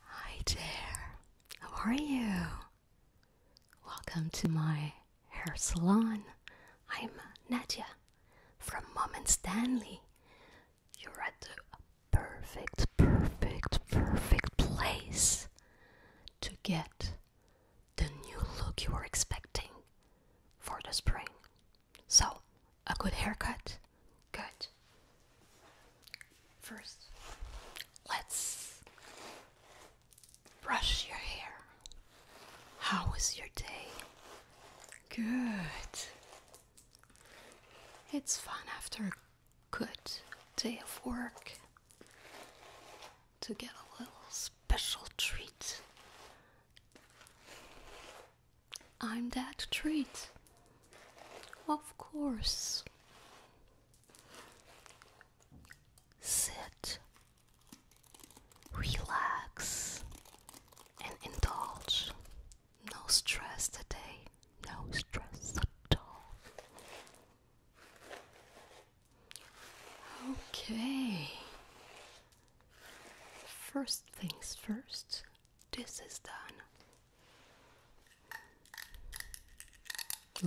Hi there, how are you? Welcome to my hair salon. I'm Nadia from Mom and Stanley. You're at the perfect, perfect, perfect place to get the new look you are expecting for the spring. So, a good haircut? Good. First, let's brush your hair. How was your day? Good. It's fun after a good day of work to get a little special treat. I'm that treat. Of course. Sit, relax, and indulge. No stress today, no stress at all. Okay, First things first, this is done.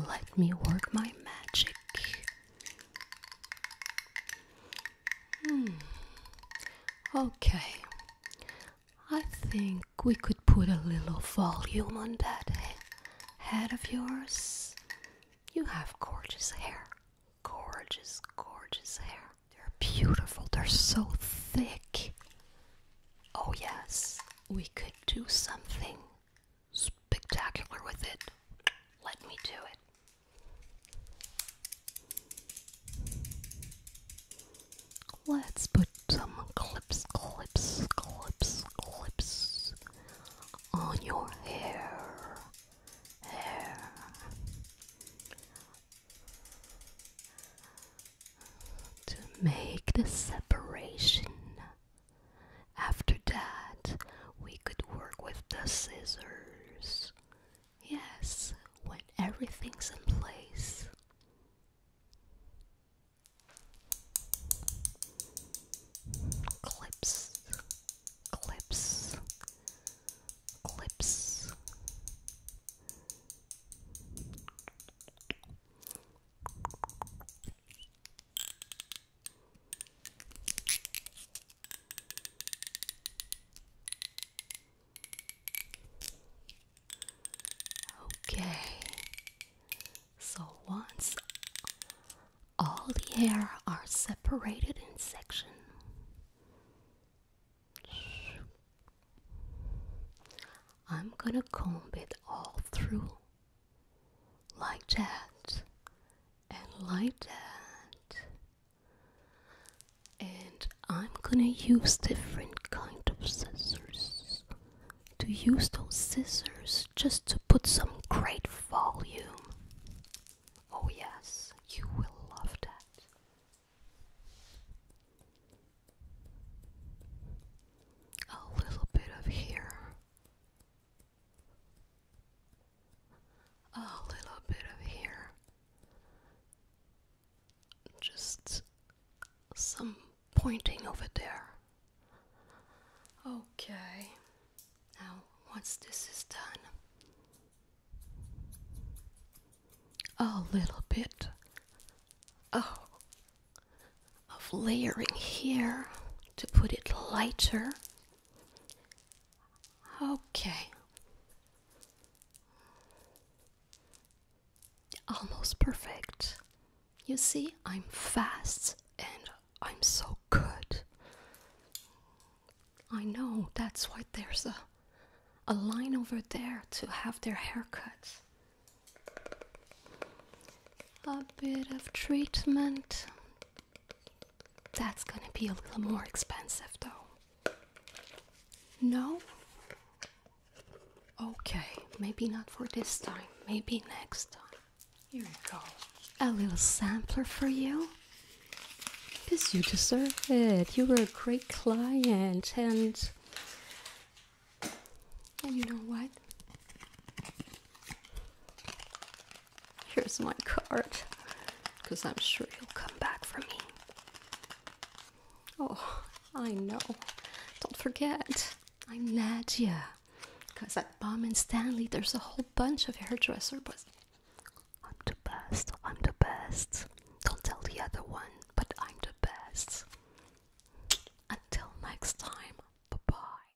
Let me work my magic. Hmm. Okay. I think we could put a little volume on that head of yours. You have gorgeous hair gorgeous, gorgeous hair. They're beautiful, they're so thick. Oh, yes, we could do something spectacular with it. Let me do it. Let's put some clips, clips, clips, clips on your hair. Hair. To make the separation. After that, we could work with the scissors. Yes, when everything's in place clips, clips, clips. Okay, so once all the hair are separated in section, I'm gonna comb it all through like that and like that and I'm gonna use different kind of scissors. To use those scissors just to put some great volume. Oh yes, you will love that. A little bit of here. A little bit of here just some pointing over there. Okay, now once this is done, a little bit oh, of layering here to put it lighter. Okay. Almost perfect. You see, I'm fast and I'm so good. I know, that's why there's a, a line over there to have their haircuts. A bit of treatment that's gonna be a little more expensive though. No? Okay, maybe not for this time, maybe next time. Here we go. A little sampler for you. Because you deserve it. You were a great client and. And you know what? Here's my card, because I'm sure you'll come back for me. Oh, I know. Don't forget, I'm Nadia. Because at Bomb and Stanley, there's a whole bunch of hairdressers, but I'm the best. I'm the best. Don't tell the other one, but I'm the best. Until next time, bye bye.